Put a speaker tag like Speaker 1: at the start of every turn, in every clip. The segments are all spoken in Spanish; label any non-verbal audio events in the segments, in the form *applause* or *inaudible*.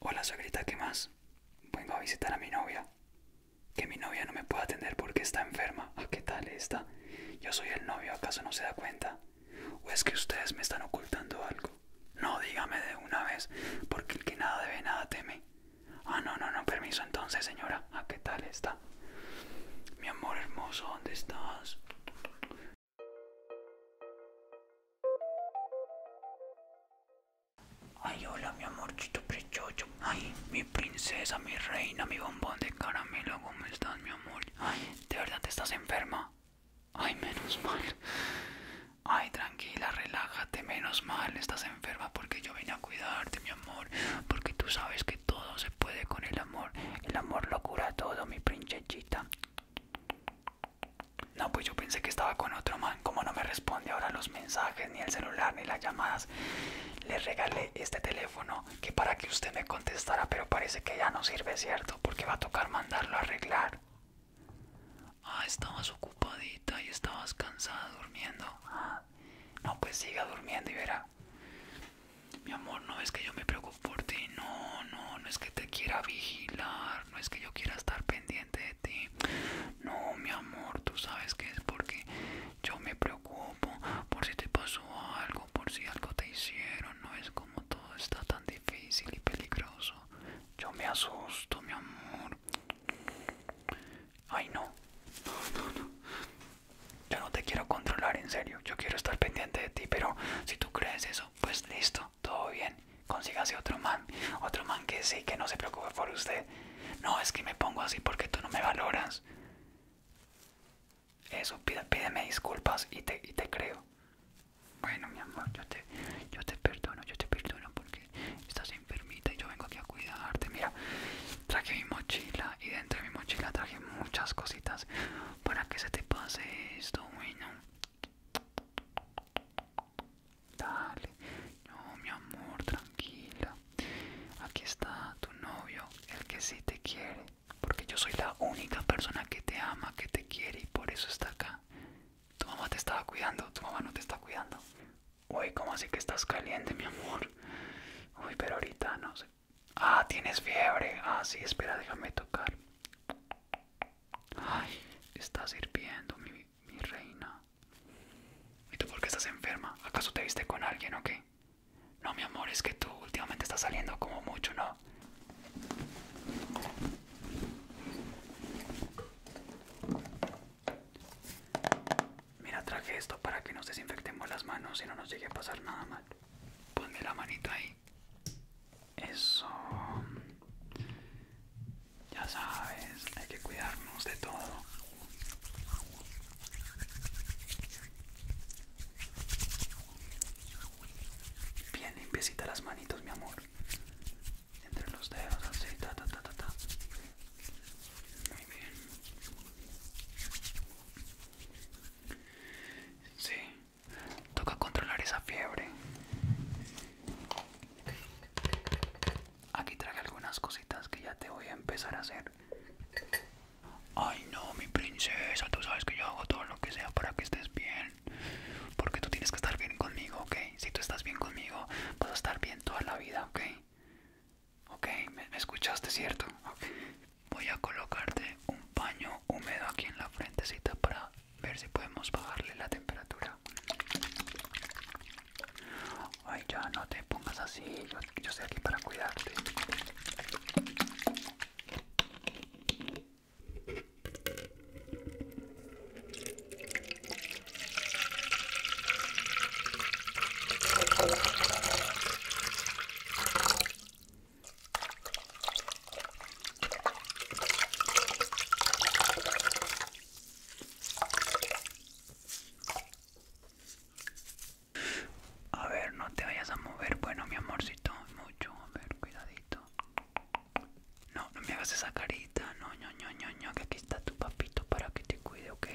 Speaker 1: Hola sobrita, ¿qué más? Vengo a visitar a mi novia. Que mi novia no me puede atender porque está enferma. ¿A ah, qué tal está? Yo soy el novio, ¿acaso no se da cuenta? ¿O es que ustedes me están ocultando algo? No, dígame de una vez, porque el que nada debe nada teme. Ah, no, no, no, permiso entonces, señora. ¿A qué tal está? Mi amor hermoso, ¿dónde estás? Ay, hola, mi amorcito prechocho. Ay, mi princesa, mi reina, mi bombón de caramelo. ¿Cómo estás, mi amor? Ay, ¿de verdad te estás enferma? Ay, menos mal. Ay, tranquila, relájate, menos mal. Estás enferma porque yo vine a cuidarte, mi amor amor, porque tú sabes que todo se puede con el amor. El amor lo cura todo, mi princesita. No, pues yo pensé que estaba con otro man. Como no me responde ahora los mensajes, ni el celular, ni las llamadas, le regalé este teléfono que para que usted me contestara, pero parece que ya no sirve, ¿cierto? Porque va a tocar mandarlo a arreglar. Ah, estabas ocupadita y estabas cansada durmiendo. Ah, no, pues siga durmiendo y verá. Mi amor, no es que yo me preocupo por ti, no, no, no es que te quiera vigilar, no es que yo quiera estar pendiente de ti. No, mi amor, tú sabes que es porque yo me preocupo por si te pasó algo, por si algo te hicieron, no es como todo está tan difícil y peligroso. Yo me asusto, mi amor. Ay no. Yo no te quiero controlar, en serio. Yo quiero estar pendiente de ti, pero si tú crees eso, pues listo, todo bien. Consígase otro man. Otro man que sí, que no se preocupe por usted. No, es que me pongo así porque tú no me valoras. Eso, pídeme disculpas y te, te creo. Bueno, mi amor, yo te, yo te perdono, yo te perdono porque estás Permita, y yo vengo aquí a cuidarte. Mira, traje mi mochila y dentro de mi mochila traje muchas cositas para que se te pase esto, bueno. Dale, no, mi amor, tranquila. Aquí está tu novio, el que sí te quiere. Porque yo soy la única persona que te ama, que te quiere y por eso está acá. Tu mamá te estaba cuidando, tu mamá no te está cuidando. Uy, ¿cómo así que estás caliente, mi amor? Uy, pero ahorita no sé. Ah, tienes fiebre. Ah, sí, espera, déjame tocar. Ay, estás hirviendo, mi, reina. ¿Y tú por qué estás enferma? ¿Acaso te viste con alguien o qué? No, mi amor, es que tú últimamente estás saliendo como mucho, ¿no? Mira, traje esto para que nos desinfectemos las manos y no nos llegue a pasar nada mal. Ponme la manita ahí. Eso. Ya sabes, hay que cuidarnos de todo. Bien limpiecita las manitos, mi amor entre los dedos así ta ta ta ta ta muy bien sí toca controlar esa fiebre aquí traje algunas cositas que ya te voy a empezar a hacer ay no mi princesa tú sabes que yo hago todo lo que sea para que estés bien porque tú tienes que estar bien conmigo, ¿ok? Si tú estás bien conmigo, vas a estar bien toda la vida, ¿ok? Ok, ¿Me, escuchaste, ¿cierto? Voy a colocarte un paño húmedo aquí en la frentecita para ver si podemos bajarle la temperatura. Ay, ya no te pongas así, yo estoy aquí para cuidarte. A ver, no te vayas a mover. Bueno, mi amorcito, mucho. A ver, cuidadito. No, no me hagas esa carita. No, no, no, no, no. Que aquí está tu papito para que te cuide, ¿ok?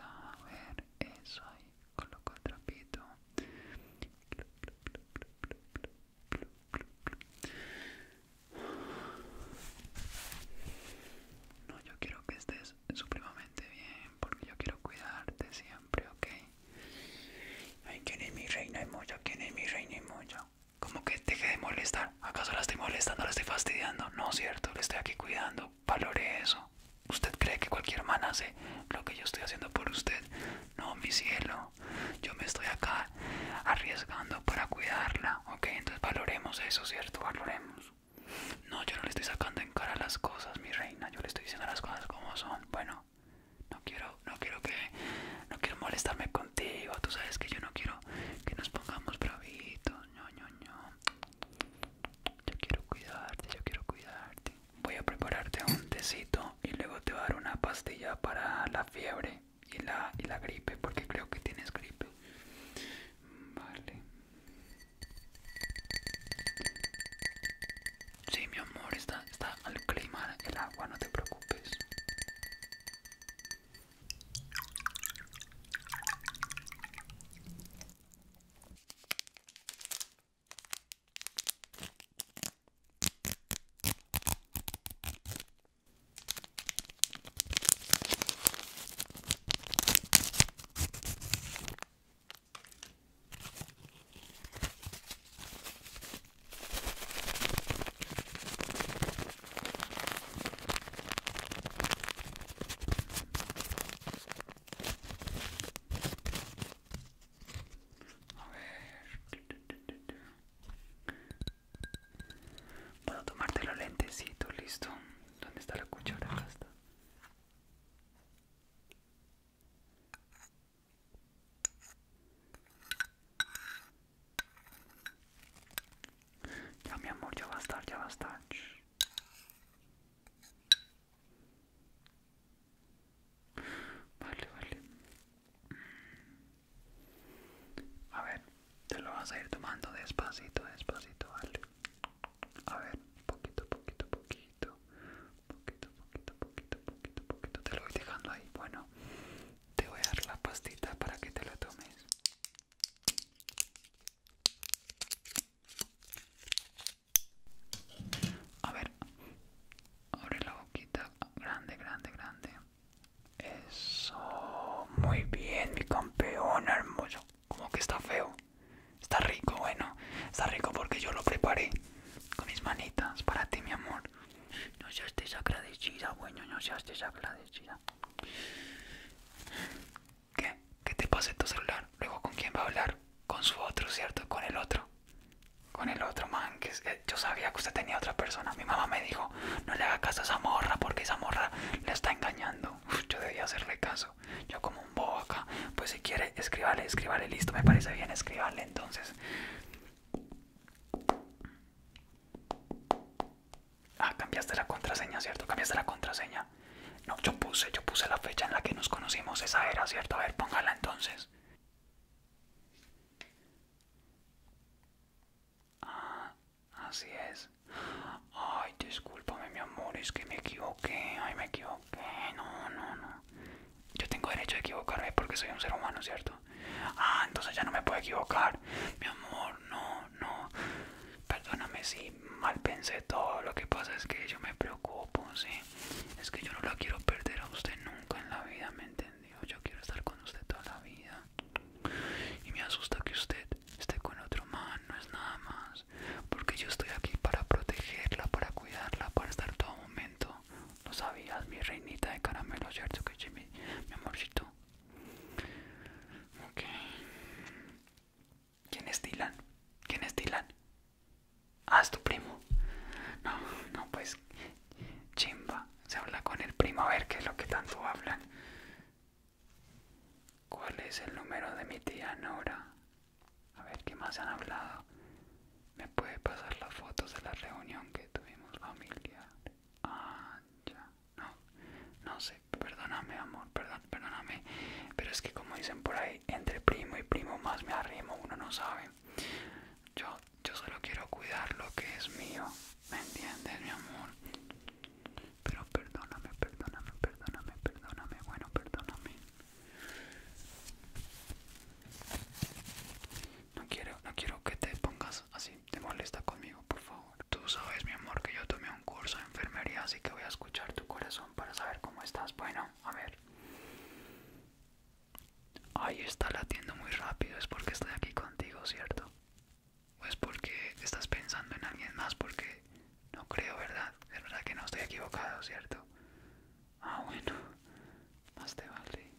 Speaker 1: A ver, eso ahí. Coloco el trapito. No, yo quiero que estés supremamente bien porque yo quiero cuidarte siempre, ¿ok? Ay, ¿quién es mi reina moya? ¿Quién es mi reina moya? como que deje de molestar. ¿Acaso la estoy molestando, la estoy fastidiando? No, cierto, le estoy aquí cuidando. Valore eso. ¿Usted cree que cualquier man hace lo que yo estoy haciendo por usted? No, mi cielo. Yo me estoy acá arriesgando para cuidarla. Ok, entonces valoremos eso, ¿cierto? Valoremos. No, yo no le estoy sacando en cara las cosas, mi reina. Yo le estoy diciendo las cosas como son. Bueno, no quiero no quiero que no quiero molestarme contigo tú sabes que yo no quiero que nos pongamos bravitos yo quiero cuidarte yo quiero cuidarte voy a prepararte un tecito y luego te voy a dar una pastilla para la fiebre y la gripe porque creo que tienes gripe vale sí mi amor está está, al clima el agua, no te preocupes. A ver. Puedo tomarte los lentecitos, listo. ¿Dónde está la cuchara? Ya mi amor, ya va a estar, ya va a estar. Vale, vale. A ver, te lo vas a ir tomando despacito, despacito, vale. A ver, poquito, poquito, poquito poquito, poquito, poquito, poquito, poquito. Te lo voy dejando ahí. Bueno, te voy a dar la pastita para que te lo tomes. A ver, abre la boquita. Grande, grande, grande. Eso. Muy bien, mi campeón hermoso. Como que está feo. Está rico, bueno. Está rico porque yo lo preparé con mis manitas para ti, mi amor. No seas desagradecida, bueno, no seas desagradecida. ¿Qué? ¿Qué te en tu celular? Luego, ¿con quién va a hablar? Con su otro, ¿cierto? Con el otro. Con el otro, man. Que, eh, yo sabía que usted tenía otra persona. Mi mamá me dijo, no le haga caso a esa morra porque esa morra le está engañando. yo debía hacerle caso. Yo como un bobo acá. Pues si quiere, escríbale, escribirle listo. Me parece bien, escríbale entonces. Ah, cambiaste la contraseña, ¿cierto? Cambiaste la contraseña. No, yo puse, yo puse la fecha en la que nos conocimos, esa era, ¿cierto? A ver, póngala entonces. Ah, así es. Ay, discúlpame mi amor, es que me equivoqué, ay me equivoqué, no, no, no. Yo tengo derecho a equivocarme porque soy un ser humano, ¿cierto? Ah, entonces ya no me puedo equivocar. Mi amor, no, no. Perdóname si mal pensé todo. Lo que pasa es que yo me preocupo, ¿sí? Es que yo no la quiero perder a usted nunca en la vida, ¿me entendió? Yo quiero estar con usted toda la vida. Y me asusta que usted esté con otro man, no es nada más. Porque yo estoy aquí para protegerla, para cuidarla, para estar todo momento no sabías, mi reinita de caramelo, ¿cierto que Jimmy? Mi amorcito. Ok. ¿Quién es Dylan? ¿Quién es Dylan? Ah, es tu primo. No, no, pues chimba. Se habla con el primo a ver qué es lo que tanto hablan. ¿Cuál es el número de mi tía Nora? A ver qué más han hablado. ¿Me puede pasar las fotos de la reunión que tuvimos familiar? Ah, ya. No, no sé. Perdóname, amor. Perdón, perdóname. Pero es que como dicen por ahí, entre primo y primo más me arrimo. Uno no sabe. Yo, yo solo quiero cuidar lo que es mío. ¿Me entiendes, mi amor? Pero perdóname, perdóname, perdóname, perdóname. Bueno, perdóname. No quiero, no quiero que te pongas así, te molesta conmigo, por favor. Tú sabes, mi amor, que yo tomé un curso de enfermería, así que voy a escuchar tu corazón para saber cómo estás. Bueno, a ver. Ahí está latiendo muy rápido, es porque estoy aquí contigo, ¿cierto? O es porque estás pensando en alguien más, porque no creo, ¿verdad? Es verdad que no estoy equivocado, ¿cierto? Ah, bueno, más te vale.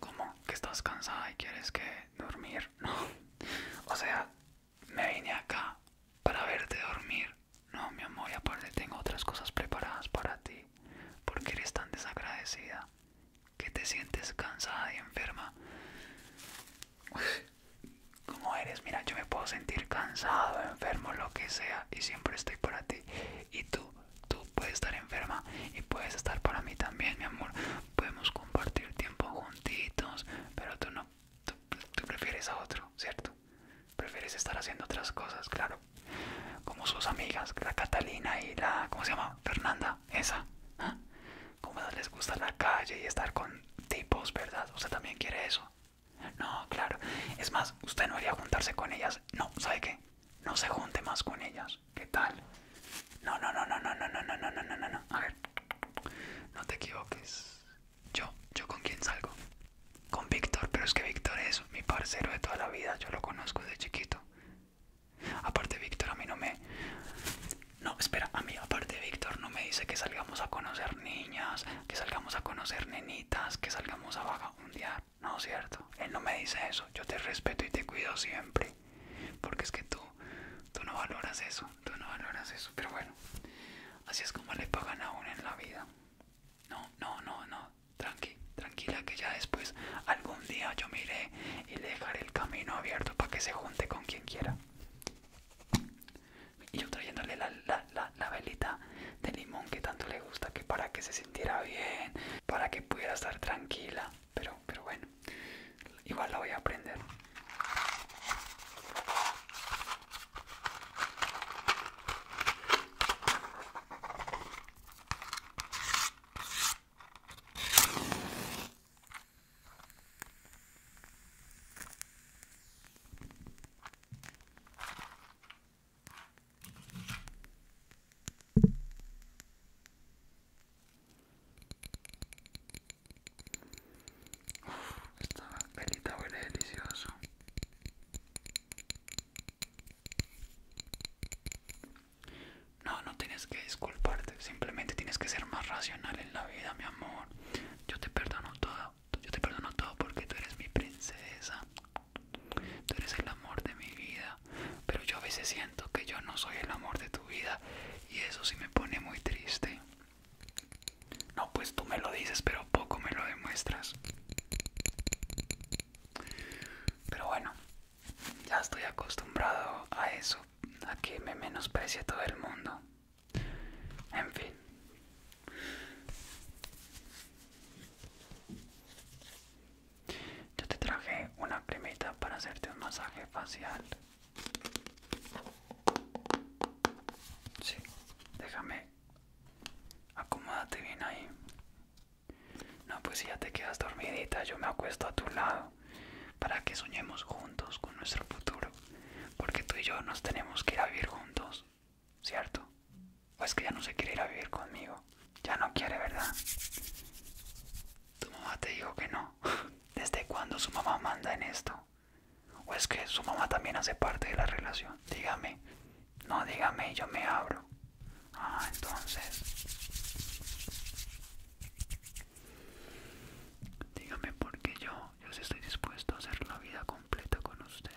Speaker 1: ¿Cómo? ¿Que estás cansada y quieres que dormir? *laughs* No. O sea, me vine acá para verte dormir. No, mi amor, y aparte tengo otras cosas preparadas para ti. ¿Por qué eres tan desagradecida? ¿Que te sientes cansada y enferma? ¿Cómo eres? Mira, yo me puedo sentir cansado, enfermo, lo que sea y siempre estoy para ti. Y tú, tú puedes estar enferma y puedes estar para mí también, mi amor. Podemos compartir tiempo juntitos, pero tú no, tú, prefieres a otro, ¿cierto? Prefieres estar haciendo otras cosas, claro. Como sus amigas, la Catalina y la, ¿cómo se llama? Fernanda, esa. ¿Ah? Como les gusta la calle y estar con tipos, ¿verdad? Usted también quiere eso. No, claro. Es más, usted no debería juntarse con ellas. No, ¿sabe qué? No se junte más con ellas. ¿Qué tal? No, no, no, no, no, no, no, no, no, no, no, no. A ver. No te equivoques. Yo, yo con quién salgo? Con Víctor, pero es que Víctor es mi parcero de toda la vida. Yo lo conozco desde chiquito. Aparte Víctor a mí no me... No, espera, a mí aparte Víctor no me dice que salgamos a conocer niñas, que salgamos a conocer nenitos que salgamos a vaga un día, ¿no es cierto? Él no me dice eso, yo te respeto y te cuido siempre, porque es que tú, tú no valoras eso, tú no valoras eso, pero bueno, así es como le pagan a uno en la vida. No, no, no, no, tranqui, tranquila que ya después, algún día yo miré y dejaré el camino abierto para que se junte con quien quiera y yo trayéndole la, la, la, velita de limón que tanto le gusta, que para que se sintiera bien, para que pudiera estar tranquila, pero, pero bueno, igual la voy a aprender. Esta pelita huele delicioso. No, no tienes que disculparte, simplemente tienes que ser más racional en la vida, mi amor. Yo te perdono todo yo te perdono todo porque tú eres mi princesa, tú eres el amor de mi vida, pero yo a veces siento que yo no soy el amor de tu vida y eso sí me pone muy triste. No, pues tú me lo dices, pero poco me lo demuestras. Pero bueno, ya estoy acostumbrado a eso, a que me menosprecie todo el mundo. En fin. Yo te traje una primita para hacerte un masaje facial. Sí, déjame. Acomódate bien ahí. No, pues si ya te quedas dormidita, yo me acuesto a tu lado para que soñemos juntos con nuestro futuro. Porque tú y yo nos tenemos que ir a vivir juntos, ¿cierto? O es que ya no se quiere ir a vivir conmigo. Ya no quiere, ¿verdad? Tu mamá te dijo que no. *laughs* ¿Desde cuándo su mamá manda en esto? ¿O es que su mamá también hace parte de la relación? Dígame. No, dígame, yo me abro. Ah, entonces. Dígame porque yo yo estoy dispuesto a hacer la vida completa con usted.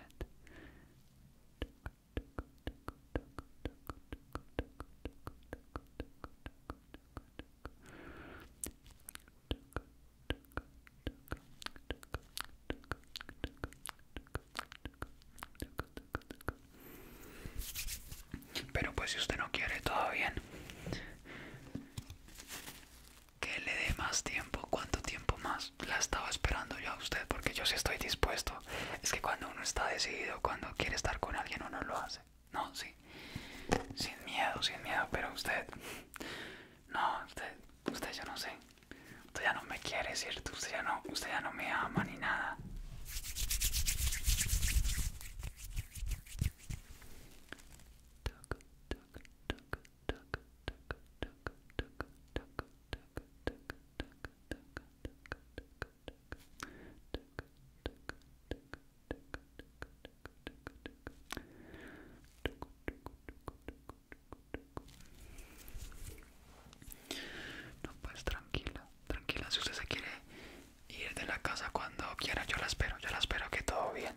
Speaker 1: Pero pues si usted no quiere, todo bien que le dé más tiempo, cuánto tiempo más la estaba esperando yo a usted, porque yo sí estoy dispuesto. Es que cuando uno está decidido, cuando quiere estar con alguien, uno lo hace. No, sí. Sin miedo, sin miedo, pero usted... No, usted, usted ya no sé. Usted ya no me quiere, ¿cierto? Usted ya no, usted ya no me ama ni nada. No, pues tranquila, tranquila. Si usted se quiere ir de la casa cuando quiera, yo la espero. Yo la espero que todo bien.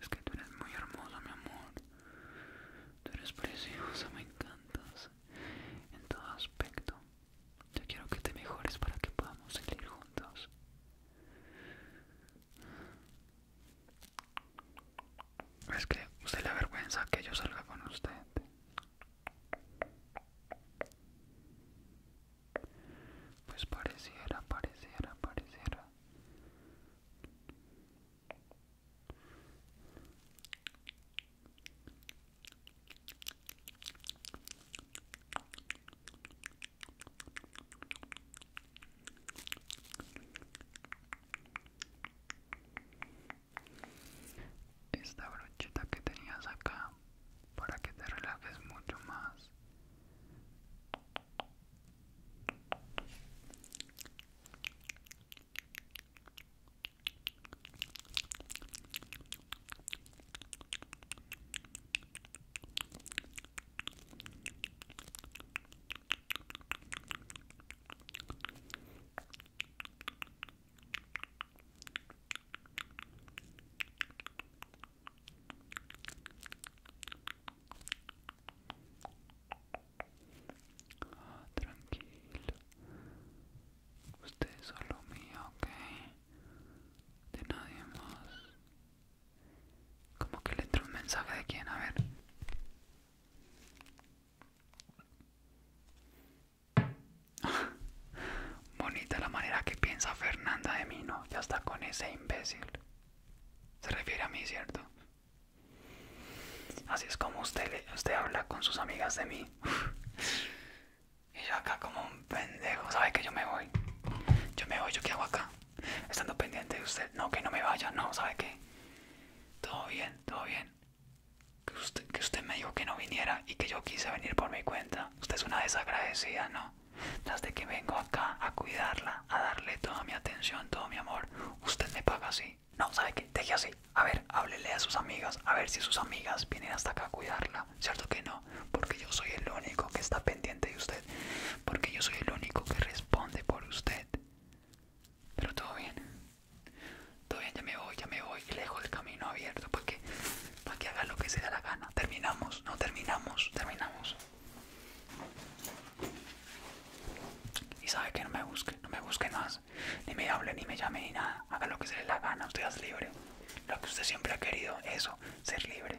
Speaker 1: Es que tú eres muy hermosa, mi amor. Tú eres preciosa, me encantas en todo aspecto. Yo quiero que te mejores para que podamos salir juntos. Es que usted le avergüenza que yo salga con usted. Pues pareciera, pareciera, pareciera. Esta brochita que tenías acá para que te relajes mucho más. Ah, tranquilo. Usted es solo mío, ok. De nadie más. Como que le entró un mensaje de quién, a ver. *laughs* Bonita la manera que piensa Fernanda de mí, ¿no? Ya está con ese imbécil. Se refiere a mí, ¿cierto? Así es como usted, usted habla con sus amigas de mí. *laughs* y yo acá como un pendejo, ¿sabe que yo me voy? Yo me voy, ¿yo qué hago acá? estando pendiente de usted. No, que no me vaya, no, ¿sabe qué? Todo bien, todo bien. Que usted, que usted me dijo que no viniera y que yo quise venir por mi cuenta. Usted es una desagradecida, ¿no? Tras de que vengo acá a cuidarla, a darle toda mi atención, todo mi amor, usted me paga así. No, ¿sabe qué? Deje así. A ver, háblele a sus amigas, a ver si sus amigas vienen hasta acá a cuidarla. ¿Cierto que no? Porque yo soy el único que está pendiente de usted porque yo soy el único que responde por usted. Pero todo bien, todo bien, ya me voy, ya me voy lejos le dejo el camino abierto Porque, que haga lo que se la gana. Terminamos, no terminamos, terminamos. Y sabe que no me busque, no me busque más, ni me hable, ni me llame, ni nada. Haga lo que se dé la gana, usted es libre. Lo que usted siempre ha querido, eso, ser libre